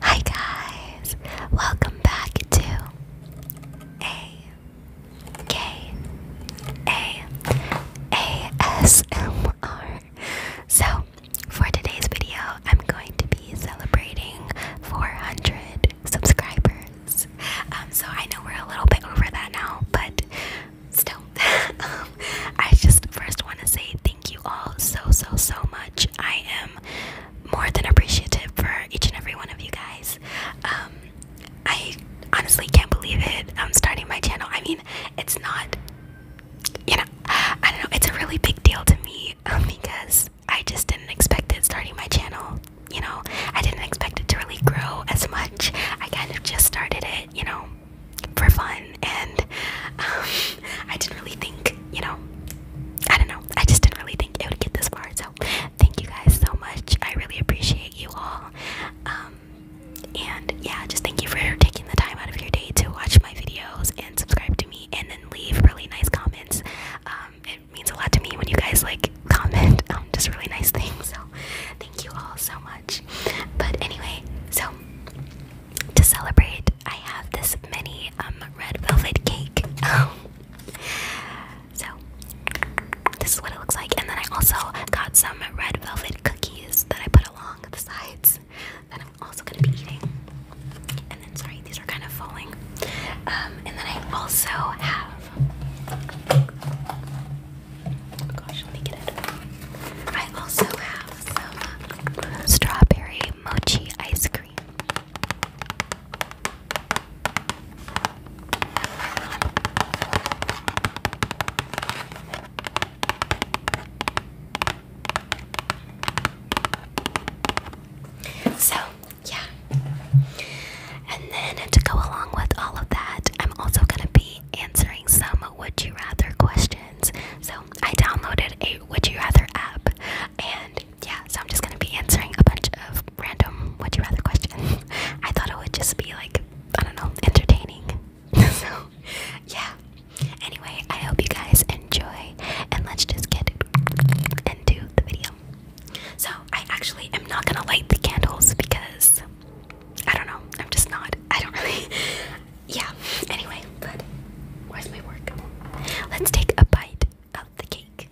Hi guys, welcome back to a k a a s m r. So for today's video, I'm going to be celebrating 400 subscribers. Um, so I know we're a little bit over that now, but still um, I just first want to say thank you all so so so much I am more than appreciative for each and every one of you guys um, I honestly can't believe it I'm starting my channel I mean it's not you know I don't know it's a really big deal to me um, because I just didn't expect it starting my channel you know I didn't expect it to really grow as much I kind of just started it you know for fun, and um, I didn't really think, you know, I don't know, I just didn't really think it would get this far. So, thank you guys so much. I really appreciate you all. Um, and yeah, just thank you for taking the time out of your day to watch my videos and subscribe to me, and then leave really nice comments. Um, it means a lot to me when you guys like comment um, just really nice things. So, thank you all so much. But anyway, so to celebrate, I have this mini um, red velvet cake. so this is what it looks like, and then I also got some red velvet cookies that I put along the sides Then I'm also gonna be eating. And then, sorry, these are kind of falling. Um, and then I also have I also have some strawberry mochi ice cream. So, yeah. And then to go along with all of that, I'm also going to be answering some um, would you rather questions. So I downloaded a would you rather app, and yeah, so I'm just gonna be answering a bunch of random would you rather questions. I thought it would just be like I don't know, entertaining. so yeah. Anyway, I hope you guys enjoy, and let's just get into the video. So I actually am not gonna light the candles because I don't know. I'm just not. I don't really. Yeah. Anyway, but where's my work? Let's take a bite of the cake.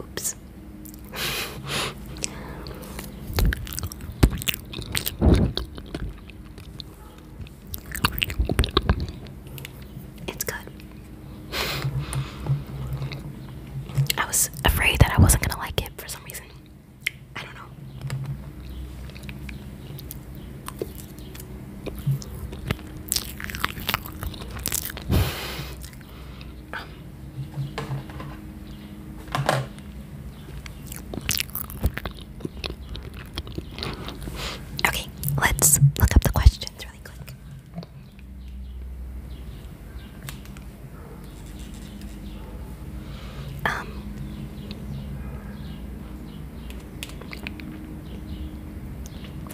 Oops. It's good. I was afraid that I wasn't gonna like it for some reason. I don't know. Okay, let's look up the questions really quick. Um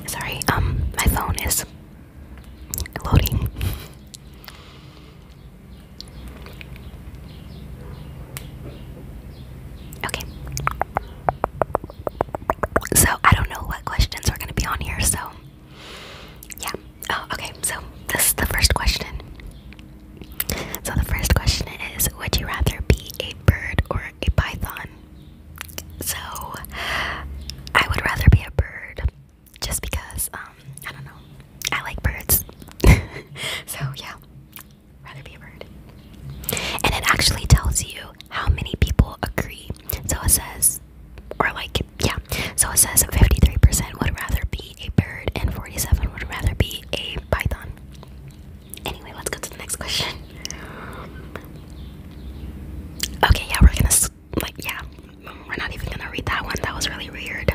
Sorry, um my phone is loading. Okay. So I don't know what questions are going to be on here, so yeah. Oh, okay. So this is the first question. So the first question is Would you rather be a bird or a python? So I would rather be a bird just because, um, I don't know. I like birds. so yeah, rather be a bird. And it actually tells you how many people agree. So it says, or like, yeah. So it says 53% would rather be a bird and 47 would rather be a python. Anyway, let's go to the next question. Okay, yeah, we're gonna, like, yeah, we're not even gonna read that one. That was really weird.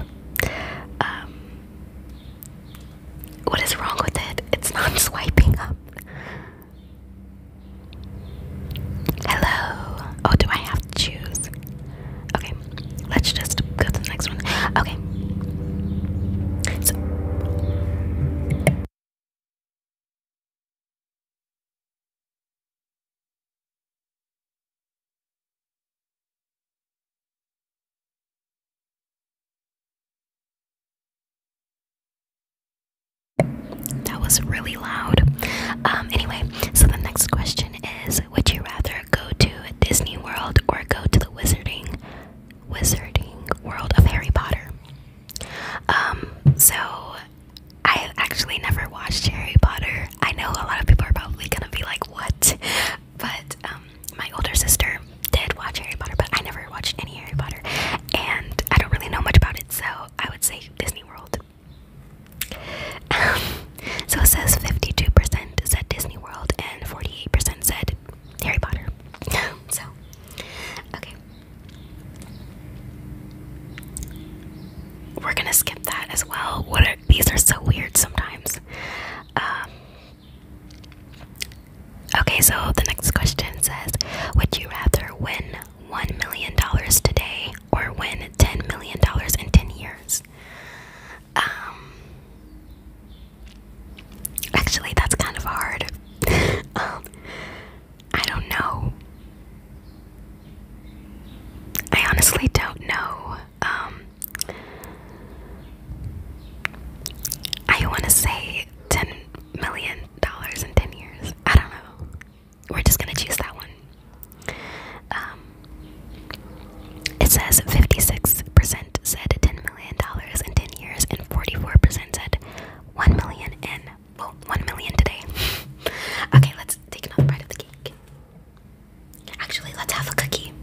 Um, what is wrong with it? It's not swiping up. Hello. Oh, do I have to choose? Okay, let's just go to the next one. Okay. So. That was really loud. Um, anyway, so the next question is Would you rather go to Disney World or go to the Wizarding Wizarding World of Harry Potter? Um, so I actually never watched Harry Potter. I know a lot of people are probably gonna be like, What? but um, my older sister did watch Harry Potter, but I never watched any Harry Potter, and I don't really know much about it, so I would say Disney World. Um, so it says 52% said Disney World and 48% said Harry Potter. so, okay. We're gonna skip that as well. What these are so weird sometimes. Um, Okay, so the next question says Would you rather win $1 million today or win $10 million in 10 years? Um, actually, that's kind of hard. um, I don't know. I honestly don't know. Um, I want to say ten million dollars in ten years. I don't know. We're just gonna choose that one. Um, it says fifty-six percent said ten million dollars in ten years, and forty-four percent said one million in well one million today. okay, let's take another bite of the cake. Actually, let's have a cookie.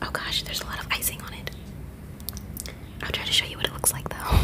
Oh gosh, there's a lot of icing on it. I'll try to show you what it looks like though.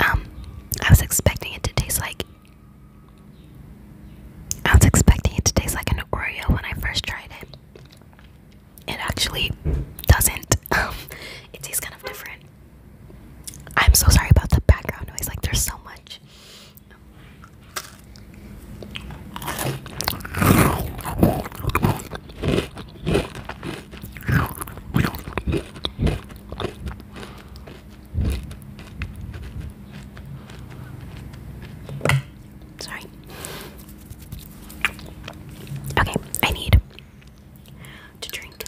Um, I was expecting it to taste like I was expecting it to taste like an Oreo when I first tried it it actually doesn't. Um, it's kind of different. I'm so sorry about the background noise. Like, there's so much. Sorry. Okay, I need to drink.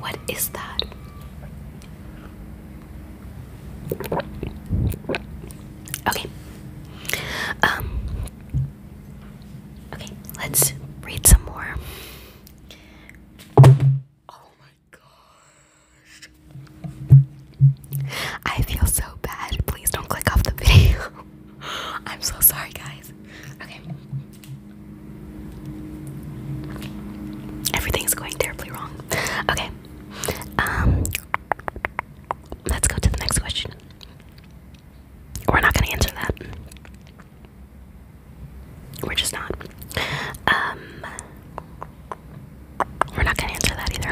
What is that? Okay. Um Okay, let's read some more. Oh my gosh. I feel so bad. Please don't click off the video. I'm so sorry, guys. Okay. Everything's going terribly wrong. Okay. Um let's go to the next question. We're not gonna answer that. We're just not. Um, we're not gonna answer that either.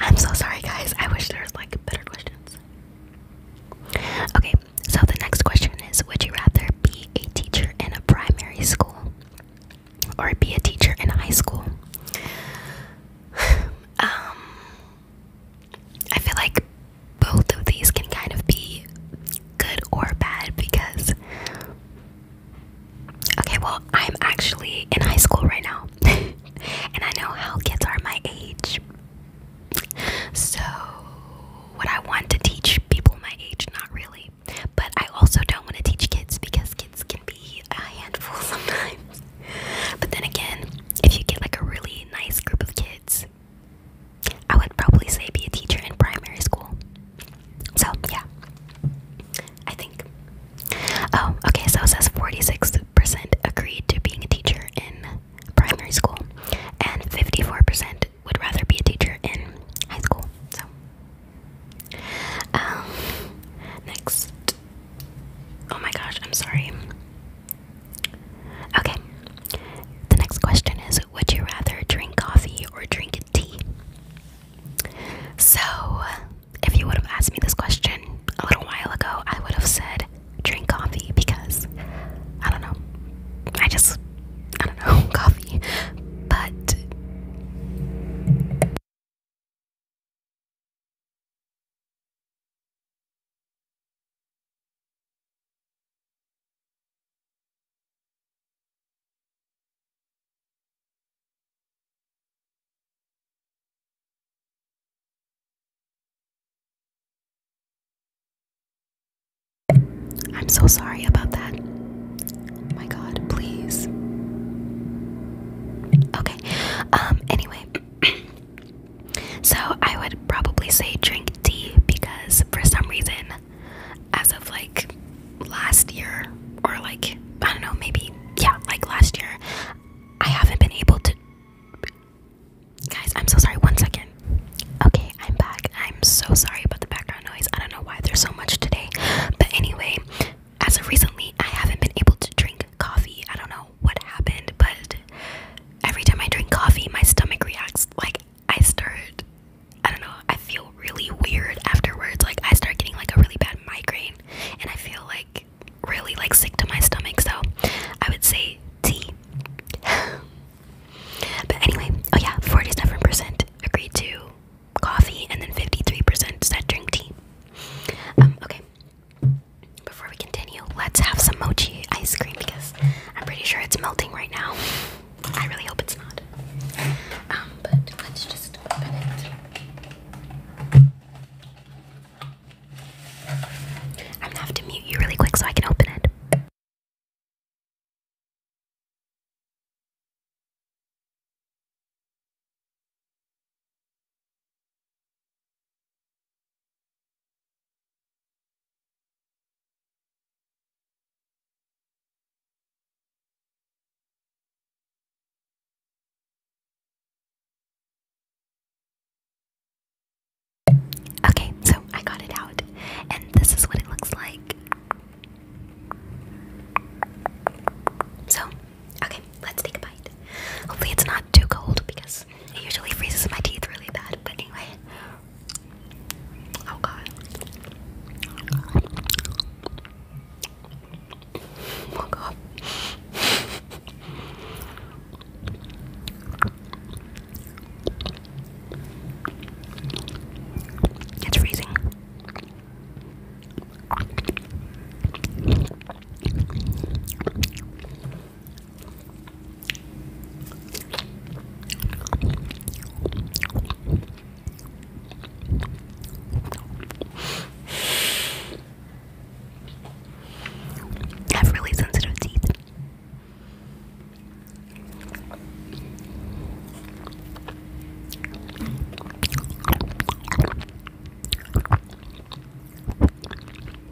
I'm so sorry, guys. I wish there was like better questions. Okay, so the next question is: Would you rather be a teacher in a primary school or be a teacher in a high school? Um, I feel like both of these can kind of be good or bad because. Okay, well, I'm actually in high school right now. and I know how kids are my age. So, would I want to teach people my age? Not really. But I also don't want to teach kids because kids can be a handful sometimes. But then again, if you get like a really nice group of kids, I would probably say be a teacher in primary school. So, yeah. I think. Oh, okay, so it says 46% agreed to being a teacher in primary school, and 54% would rather be a teacher in high school. So, um, next Oh my gosh, I'm sorry. Okay. The next question is Would you rather drink coffee or drink tea? So, if you would have asked me this question a little while ago, I would have said drink coffee because I don't know. I just, I don't know, coffee. But. I'm so sorry about that. Oh my god, please. Okay. Um anyway, So I would probably say drink tea because for some reason, as of like last year or like I don't know, maybe yeah, like last year, I haven't been able to. Guys, I'm so sorry. One second. Okay, I'm back. I'm so sorry about the background noise. I don't know why there's so much today, but anyway, as of recently, I haven't been able to drink coffee. I don't know what happened, but every time I drink coffee, my stomach reacts like I start I don't know, I feel really weird afterwards. Like I start getting like a really bad migraine and I feel like really like sick to my stomach. So I would say tea. but anyway, oh yeah, 47% agreed to coffee and then 53% said drink tea. Um, okay. Before we continue, let's have some mochi ice cream because I'm pretty sure it's melting right now. I really hope it's not. Um, but let's just open it. I'm gonna have to mute you really quick so I can open it. Okay, so I got it out, and this is what it looks like. So, okay, let's take a bite. Hopefully, it's not too cold because it usually freezes my teeth really bad, but anyway. Oh god. Oh god. It's freezing. I have really sensitive teeth.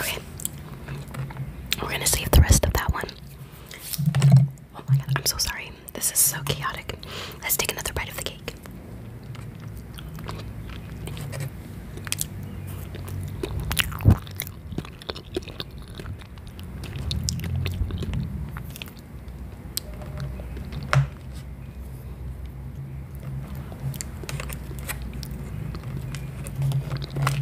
Okay. We're gonna save the rest of that one. Oh my god, I'm so sorry. This is so chaotic. Let's take another bite of the cake.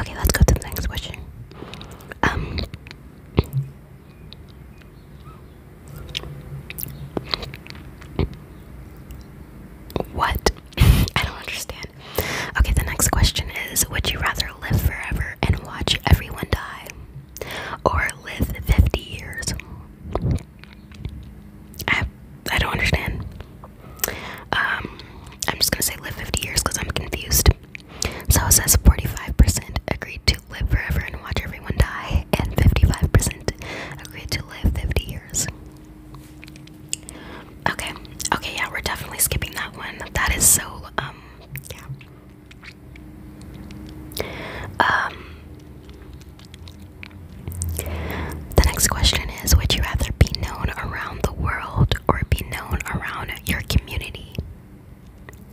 Okay, let's go to the next question. Um What? I don't understand. Okay, the next question is Would you rather live forever and watch everyone die or live 50 years? I I don't understand. Um, I'm just gonna say live 50 years because I'm confused. So it says 45% agreed to live forever and watch everyone die, and 55% agreed to live 50 years. Okay, okay, yeah, we're definitely skipping that one. That is so, um, yeah. Um, the next question is Would you rather be known around the world or be known around your community?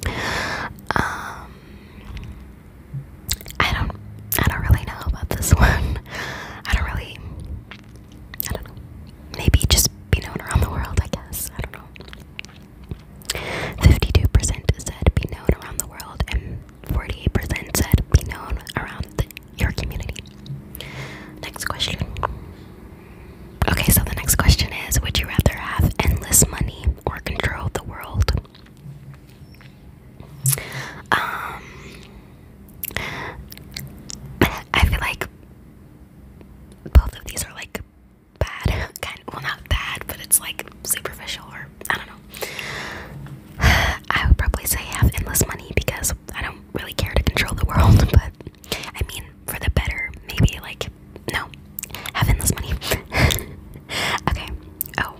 Um, I don't, I don't really know about this one. I don't really, I don't know. Maybe just be known around the world, I guess. I don't know. 52% said be known around the world, 48% said be known around your community. Next question. Okay, so the next question is Would you rather have endless money or control the world? Um, I feel like both of these are like bad, well, not bad, but it's like superficial or I don't know. I would probably say I have endless money because I don't really care to control the world, but I mean, for the better, maybe like, no, have endless money. okay, oh,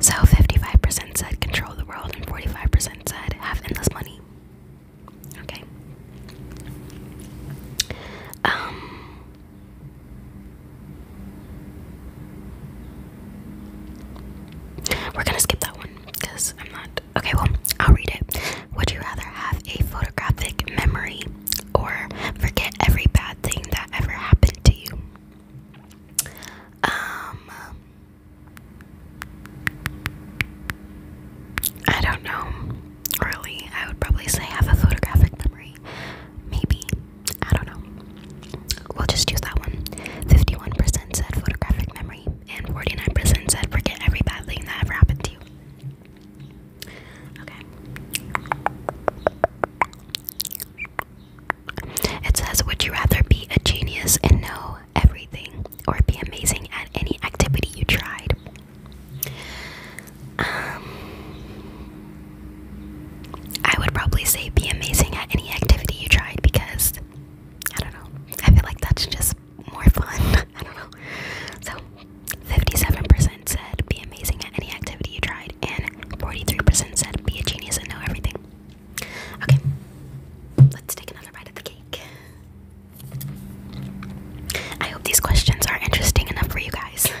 so 55% said control the world and 45% said have endless money. Okay. Um, we're gonna skip that one because I'm not. Okay, well, I'll read it. Would you rather have a photographic memory or forget every bad thing that ever happened to you? Um, I don't know. Really, I would probably say have a photographic memory. Maybe. I don't know. We'll just use that one. 51% said photographic memory, and 49% said forget every bad thing that ever happened to you. Okay. It says, Would you rather be a genius and know everything, or be amazing at any activity you tried? Um, I would probably say be amazing at any activity you tried because I don't know. I feel like that's just more fun. I don't know. So 57% said be amazing at any activity you tried, and 43% said be a genius and know everything. Okay, let's take another bite of the cake. I hope these questions are interesting enough for you guys.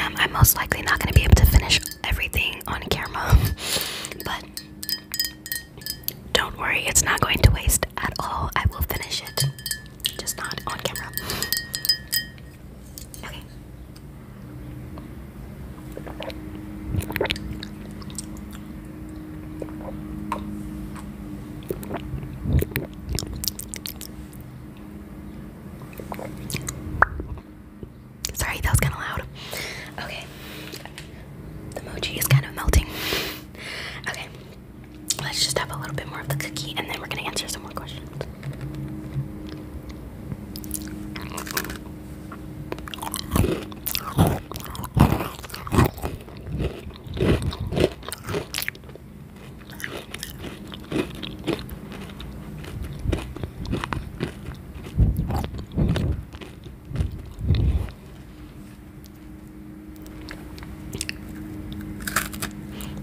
Um, I'm most likely not going to be able to finish everything on camera, but don't worry, it's not going to waste at all. I will finish it, just not on camera. Sorry, that was kind of loud. Okay. The emoji is kind of melting. okay. Let's just have a little bit more of the cookie and then we're going to answer some more questions.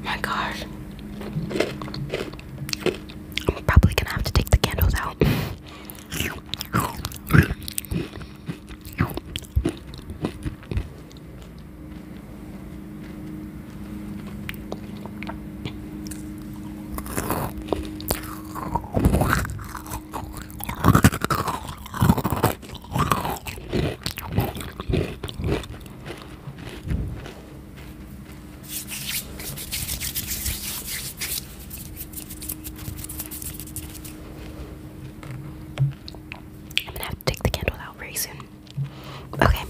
My gosh. I'm probably gonna have to take the candles out. I'm gonna have to take the candle out very soon. Okay.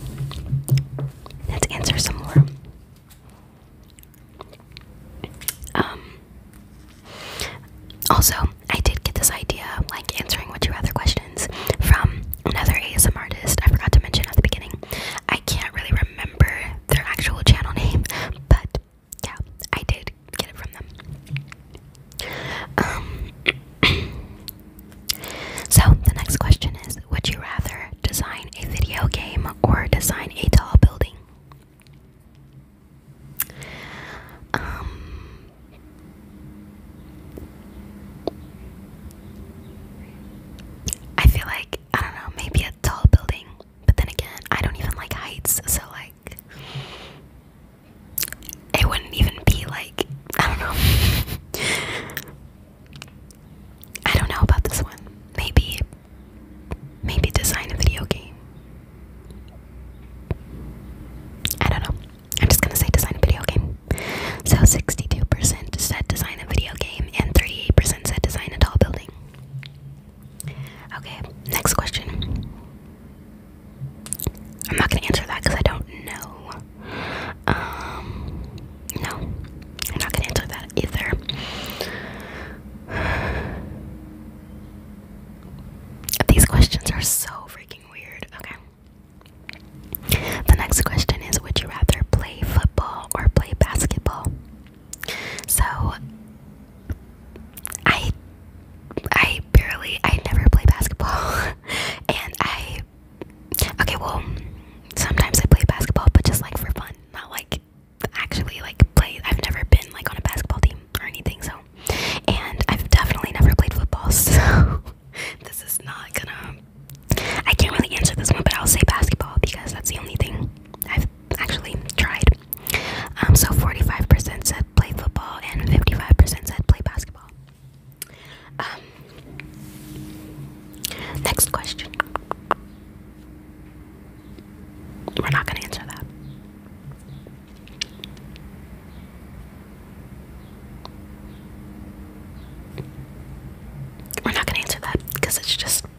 Let's answer some more. Um, also, I did get this idea like answering what you rather questions from another ASM artist I forgot to mention at the beginning. I can't really remember their actual channel name, but yeah, I did get it from them. Um, so, the next question is Would you rather design a video game or design a tall building? Um, I feel like, I don't know, maybe a tall building, but then again, I don't even like heights, so like it wouldn't even be like I don't know. I don't know about this one. Maybe maybe design a video game. I don't know. I'm just gonna say design a video game. So 62% said design a video game and 38% said design a tall building. Okay, next question. I'm not gonna answer that because I don't know. Um, no, I'm not gonna answer that either. These questions are so freaking weird. Okay. The next question is Would you rather play football or play basketball? So, I I barely I never play basketball and I Okay, well, sometimes I play basketball, but just like for fun, not like actually like play. I've never been like on a basketball team or anything, so and I've definitely never played football, so this is not gonna. I can't really answer this one, but I'll say basketball because that's the only thing I've actually tried. Um, so 45% said play football and 55% said play basketball. Um, next question. We're not going to answer that. We're not going to answer that because it's just.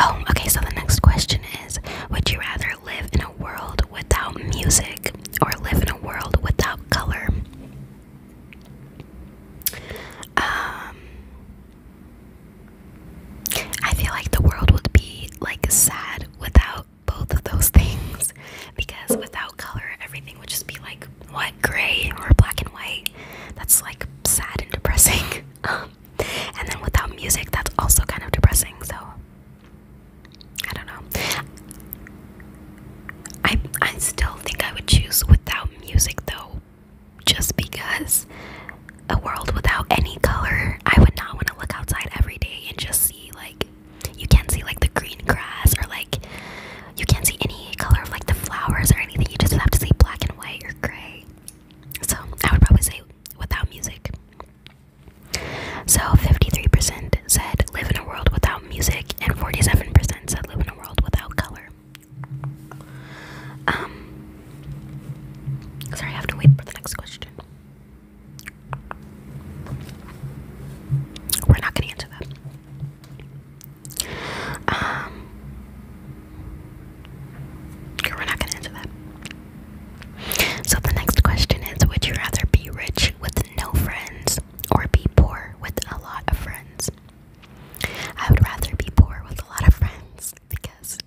Oh, okay, so the next question is Would you rather live in a world without music or live in a world without color. Um, I feel like the world would be like sad without both of those things because without color, everything would just be like what gray or black and white. That's like sad and depressing. Um, and then without music, that's also kind of depressing. So I don't know. I I still think I would choose without music though, just because a world without any color, I would not want to look outside every day and just see like you can't see like the green grass or like you can't see any color of like the flowers or anything. You just have to see black and white or gray. So I would probably say without music. So 53% said live in a world without music, and 47% said live in a world without color. Um, sorry, I have to wait for the next question. We're not going to answer that. Um, we're not going to answer that. So the next question is Would you rather be rich with no friends or be poor with a lot of friends. I would rather be poor with a lot of friends because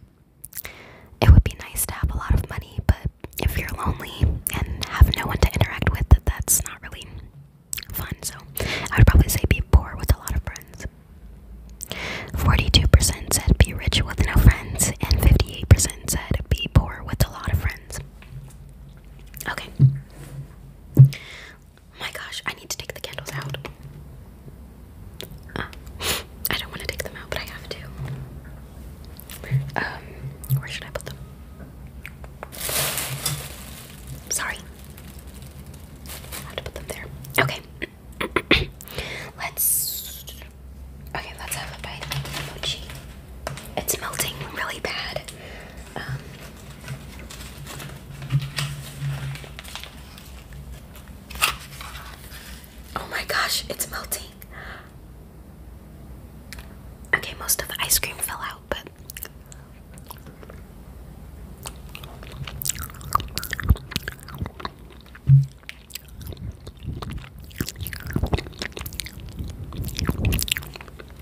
it would be nice to have a lot of money, but if you're lonely and have no one to interact with, that's not really fun. So I would probably say be poor with a lot of friends. 42% said be rich with no friends, and 58% said be poor with a lot of friends. Okay. My gosh, I need to take the candles out. Uh, I don't want to take them out, but I have to. Um, where should I put them? Sorry. have to put them there. Okay. let's. Okay, let's have a bite of it's melting really bad. Um, oh my gosh, it's melting. Okay, most of the ice cream fell out, but.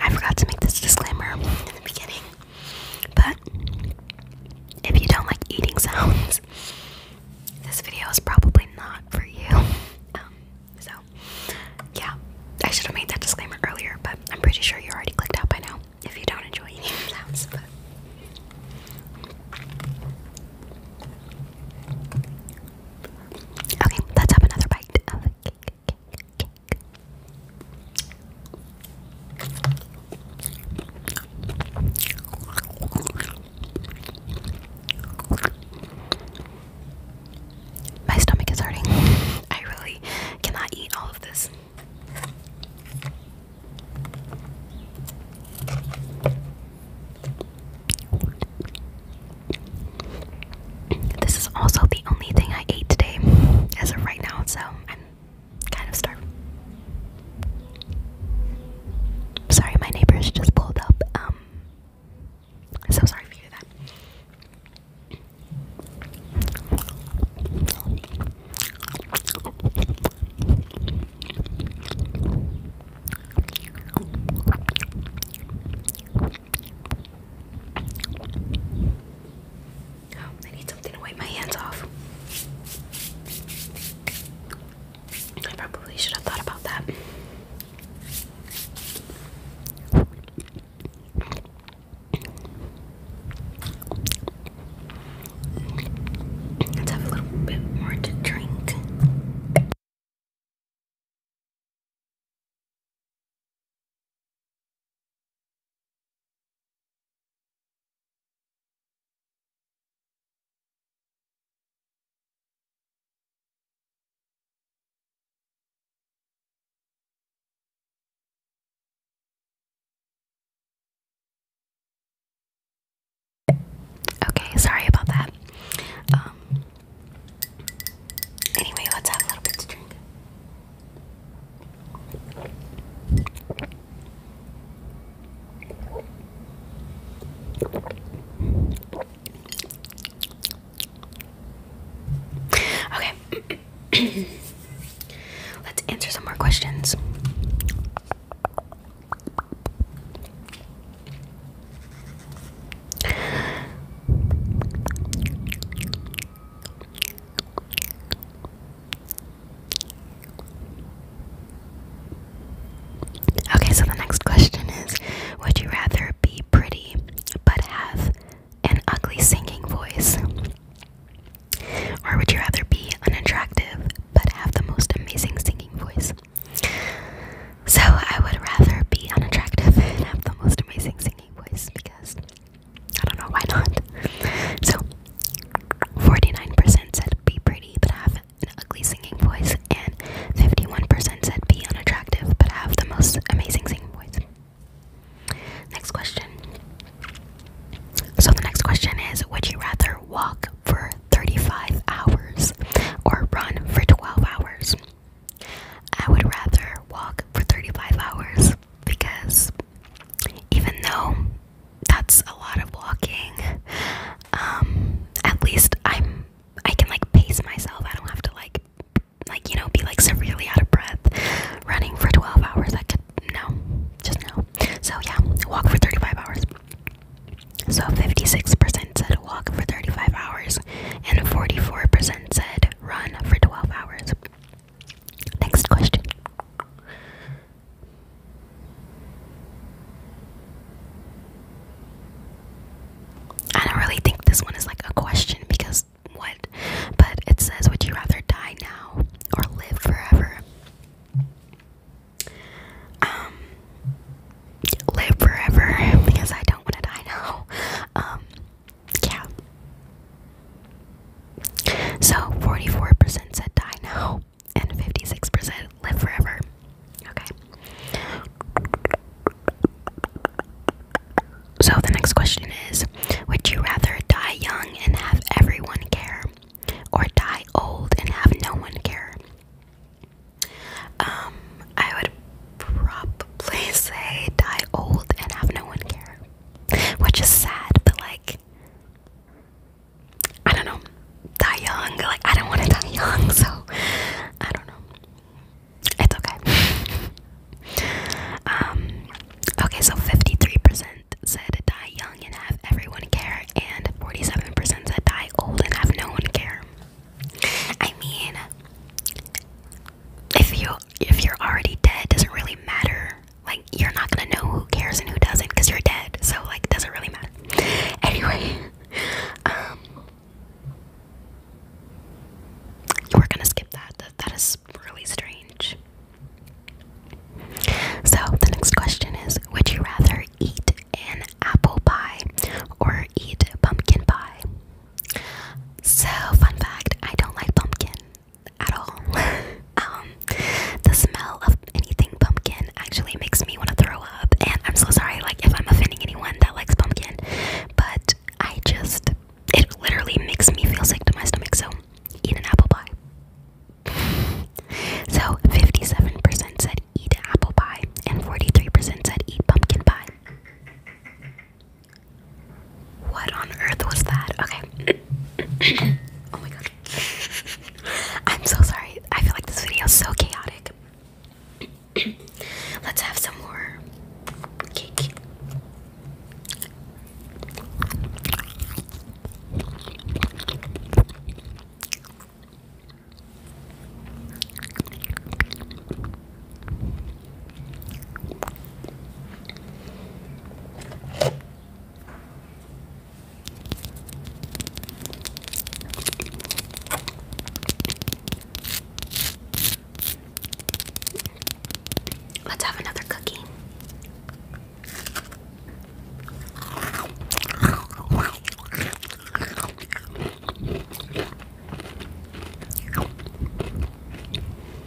I forgot to make this disclaimer in the beginning, but if you don't like eating sounds, this video is probably not for you. Um, so, yeah, I should have made that disclaimer earlier, but I'm pretty sure you already clicked out by now if you don't enjoy eating sounds. Okay, let's have another bite of the cake. My stomach is hurting. I really cannot eat all of this. This is also the only thing I ate today as of right now, so I'm kind of starved. Sorry, my neighbors just pulled up. Um, so sorry for that. I need something to wipe my hands off. I probably should have thought about that. Let's have a little bit more to drink. Okay, sorry about that. Um, anyway, let's have a little bit to drink. Okay. Let's answer some more questions. Okay, so the next question is Would you rather be pretty but have an ugly singing voice? Or would you rather be unattractive but have the most amazing singing voice? So I would rather be unattractive and have the most amazing singing voice because I don't know why not. So, 49% said be pretty but have an ugly singing voice, and 51% said be unattractive but have the most amazing singing voice. Next question. So, the next question is Would you rather walk for 35 hours or run for 12 hours? I would rather walk for 35 hours because even though that's a lot of walking, um, at least I'm I can like pace myself. I don't have to like like you know be like severely out of breath running for 12 hours. I could no, just no. So yeah, walk for 35 hours. So 56% said walk for 35 hours and 44% said run for 12 hours. Next question. I don't really think this one is like a question because what? But it says, Would you rather die now or live forever? Um, live forever because I don't want to die now. Um, yeah. So 44% said die now, and 56% live forever. Okay. So the next question is Would you rather die young and have everyone care, or die old and have no one care? Um, I would probably say die old and have no one care which is sad, but like, I don't know, die young. Like, I don't want to die young, so I don't know. It's okay. um, okay, so 53% said die young and have everyone care, and 47% said die old and have no one care. I mean, if you if you're already dead, it doesn't really matter. Like you're not gonna know who cares and who doesn't because you're dead. So like it doesn't really matter. Anyway, um you were gonna skip that. That that is really strange. So the next question is would you rather eat an apple pie or eat pumpkin pie? So, fun fact, I don't like pumpkin at all. um, the smell of anything pumpkin actually makes me want to throw up, and I'm so sorry, like if I'm offending anyone that likes pumpkin, but I just it literally makes me feel sick to my stomach. So eat an apple pie. So 57% said eat apple pie, and 43% said eat pumpkin pie. What on earth was that? Okay. oh my god. I'm so sorry. I feel like this video is so chaotic. Let's have some more cake. Let's have another cookie.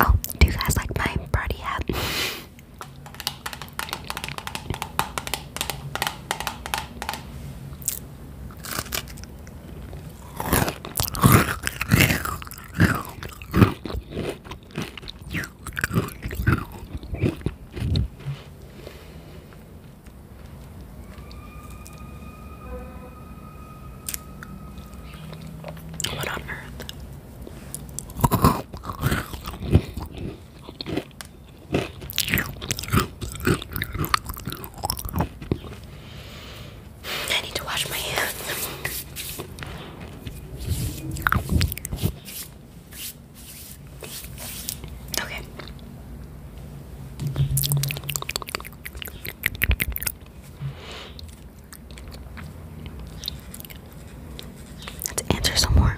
Oh, do you guys like my party hat? What on earth? I need to wash my hands. Okay. Let's answer some more.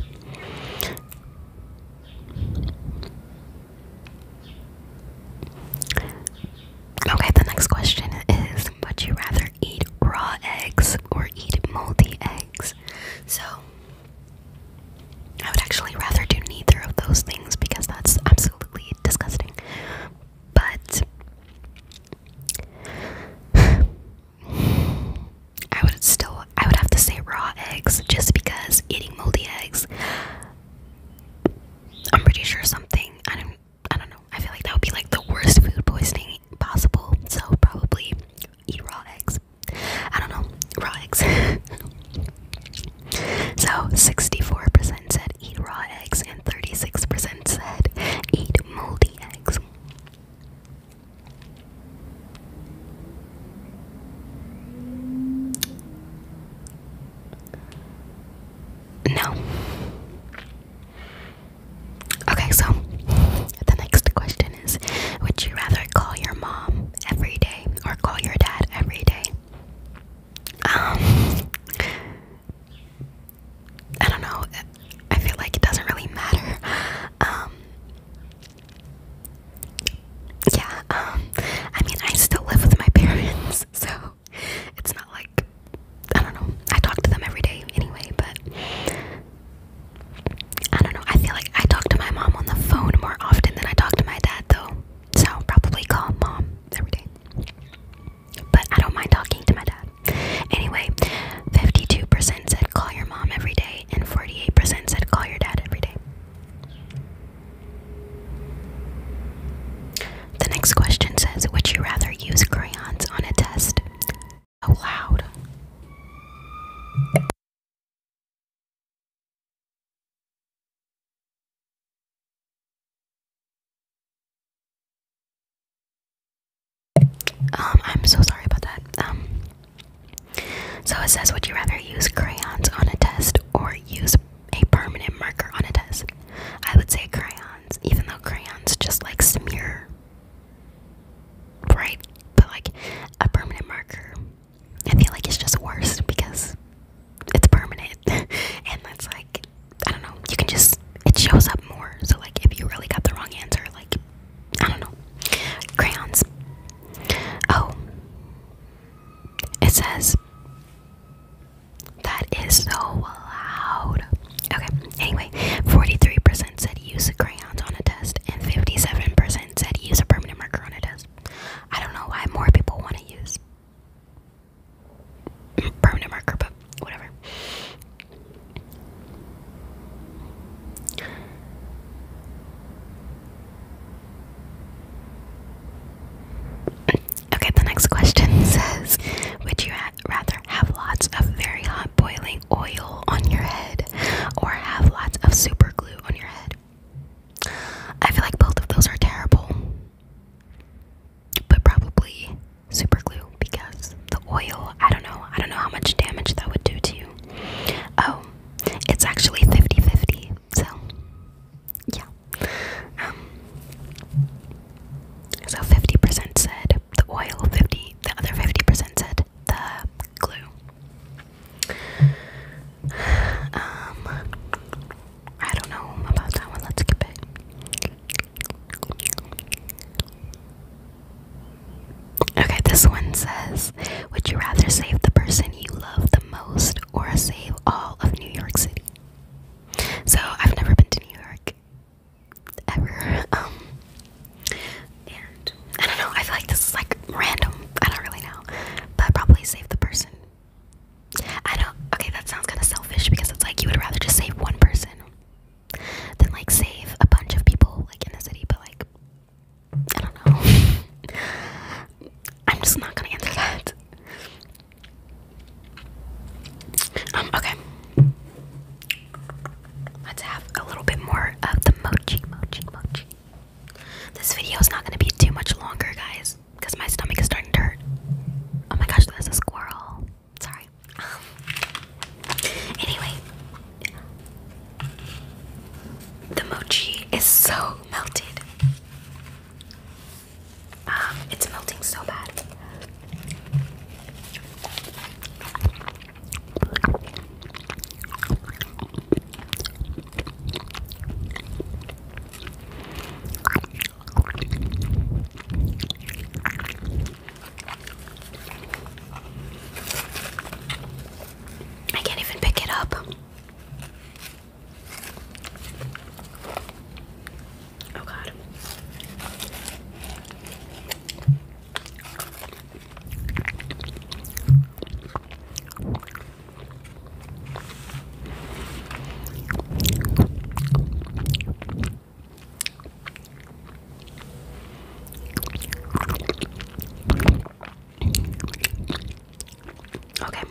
Okay, the next question is Would you rather eat raw eggs or eat moldy eggs? So, I would actually rather do neither of those things because that's absolutely disgusting but I would still I would have to say raw eggs just because eating moldy eggs I'm pretty sure something I don't I don't know. I feel like that would be like the worst food poisoning possible. So probably eat raw eggs. I don't know. Raw eggs. So 64% said eat raw eggs and 36% said eat moldy eggs. No. Okay, so the next question is Would you rather call your mom every day or call your dad every day? Um, I don't know. I feel like it doesn't really matter. Um, yeah. Um, I mean, I still live with my parents, so it's not like I don't know. I talk to them every day anyway, but I don't know. I feel like I talk to my mom on the phone more often than I talk to my dad, though. So probably call mom every day. But I don't mind talking to my dad. Anyway, 52% said call your mom every day, and 48% said call your dad every day. The next question says Would you rather use crayons on a test? So loud. Um, I'm so sorry about that. Um, so it says, would you rather use crayons on a test or use a permanent marker on a test? I would say crayons, even though crayons just like smear, right? But like a permanent marker, I feel like it's just worse because it's permanent, and that's like I don't know, you can just it shows up more. So like if you really got the wrong answer, like I don't know. Crayons. Oh. It says that is so loud. Okay. Anyway, 43% said use crayons on a test and 57% said use a permanent marker on a test. I don't know why more people want to use permanent marker, but whatever. Okay, the next question says Would you rather have lots of very hot boiling oil on your head or have lots of super glue on your head? I feel like both of those are terrible but probably super glue because the oil, I don't know, I don't know how much damage that would do to you. Oh, it's actually 50 50, so yeah. Um, so 50% said the oil, 50, the other 50% said the glue. Um, I don't know about that one. Let's skip it. Okay, this one says Would you rather save the person you love the most or save all of New York City? So, I've never been to New York ever. Um, and I don't know, I feel like this is like random. I don't really know. But i probably save the person I don't. Okay, that sounds kind of selfish because it's like you would rather just save one person than like save a bunch of people like in the city. But like, I don't know. I'm just not gonna answer that. Um, okay. Let's have a little bit more of the mochi, mochi, mochi. This video is not gonna be too much longer, guys because my stomach is starting to hurt. Oh my gosh, there's a squirrel. Sorry. anyway, the mochi is so melted. Um, it's melting so bad. I can't even pick it up. Oh God. Okay,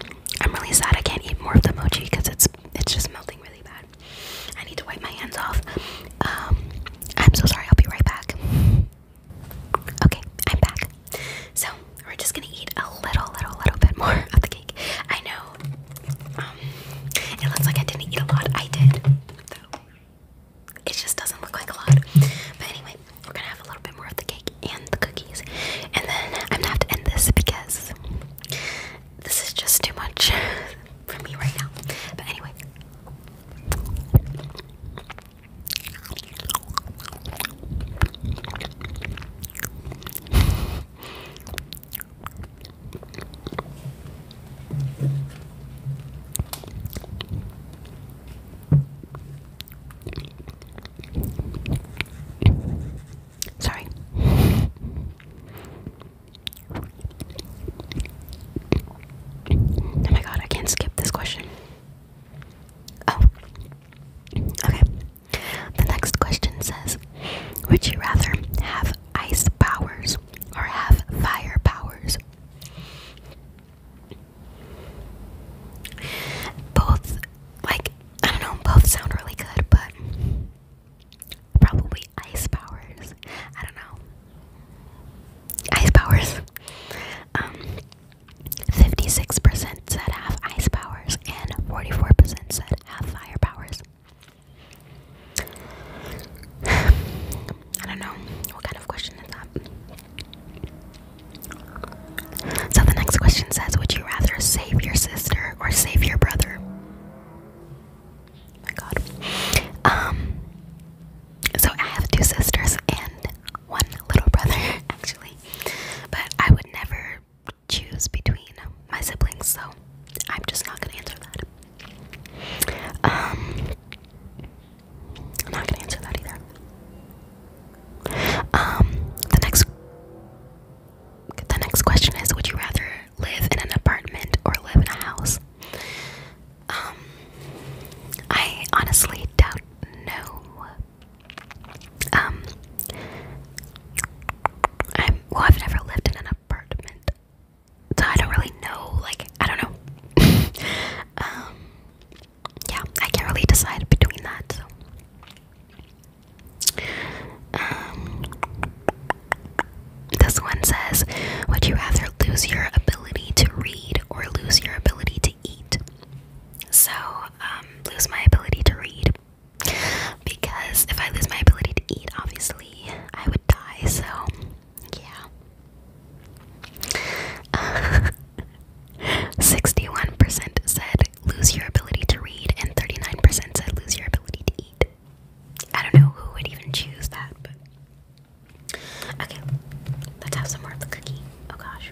I'm really sad I can't eat more of the mochi because it's it's just melting really bad. I need to wipe my hands off. Um, I'm so sorry. I'll be right back. Okay, I'm back. So we're just gonna eat a little, little, little bit more of the I know. Um, it looks like I didn't eat a lot. I did, though. It just doesn't look like a lot. But anyway, we're gonna have a little bit more of the cake and the cookies, and then I'm gonna have to end this because this is just too much for me right now. But anyway. Sorry. Oh my god, I can't skip this question. Oh. Okay. The next question says Would you rather have ice powers or have fire powers. Both, like, I don't know, both sound really good, but probably ice powers. I don't know. Ice powers. Um, 56% said have ice powers, and 44% said have fire powers. I don't know what kind of question is that. So the next question says, "Would you rather save your sister or save your brother?" Oh my God. Um. So I have two sisters and one little brother, actually, but I would never choose between my siblings, so I'm just not gonna answer that. Um, I'm not gonna answer that either. Um, the next, the next question is: Would you rather live in an apartment or live in a house? Um, I honestly don't know. Um, I'm well. I've never lived in an apartment so I don't really know. Like I don't know. Um, yeah, I can't really decide between that. So. Um, this one says, "Would you rather lose your ability to read or lose your ability to eat?" So, um, lose my ability to read. Because if I lose my ability to eat, obviously I would die, so yeah. 61% said lose your ability to read, and 39% said lose your ability to eat. I don't know who would even choose that, Okay, let's have some more of the cookie. Oh gosh.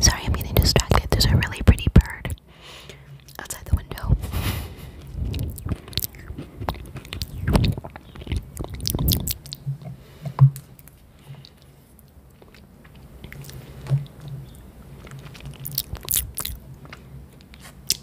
Sorry, I'm getting distracted. There's a really pretty bird outside the window.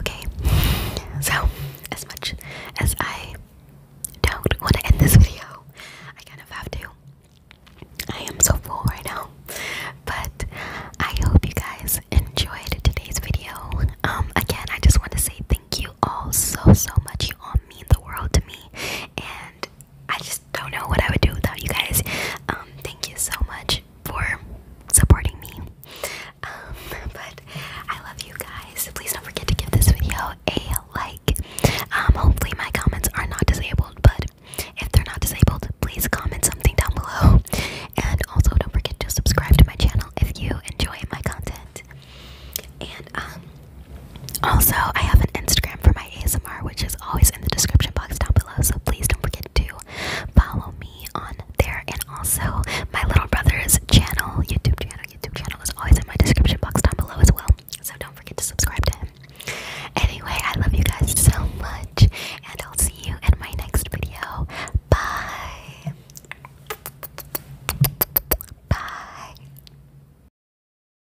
Okay, so as much as I don't want to end this video, I kind of have to. I am so full right now, but I hope you guys enjoyed today's video. Um, again, I just want to say thank you all so so much. You all mean the world to me, and I just don't know what I would do without you guys. Um, thank you so much for supporting me. Um, but I love you guys. Please don't forget to give this video a like. Um, hopefully my comments are not disabled, but if they're not disabled, please comment something down below. And also don't forget to subscribe to my channel if you enjoy my content. And um also, I have an Instagram for my ASMR, which is always in the description box down below. So please don't forget to follow me on there. And also, my little brother's channel, YouTube channel, YouTube channel is always in my description box down below as well. So don't forget to subscribe to him. Anyway, I love you guys so much, and I'll see you in my next video. Bye. Bye.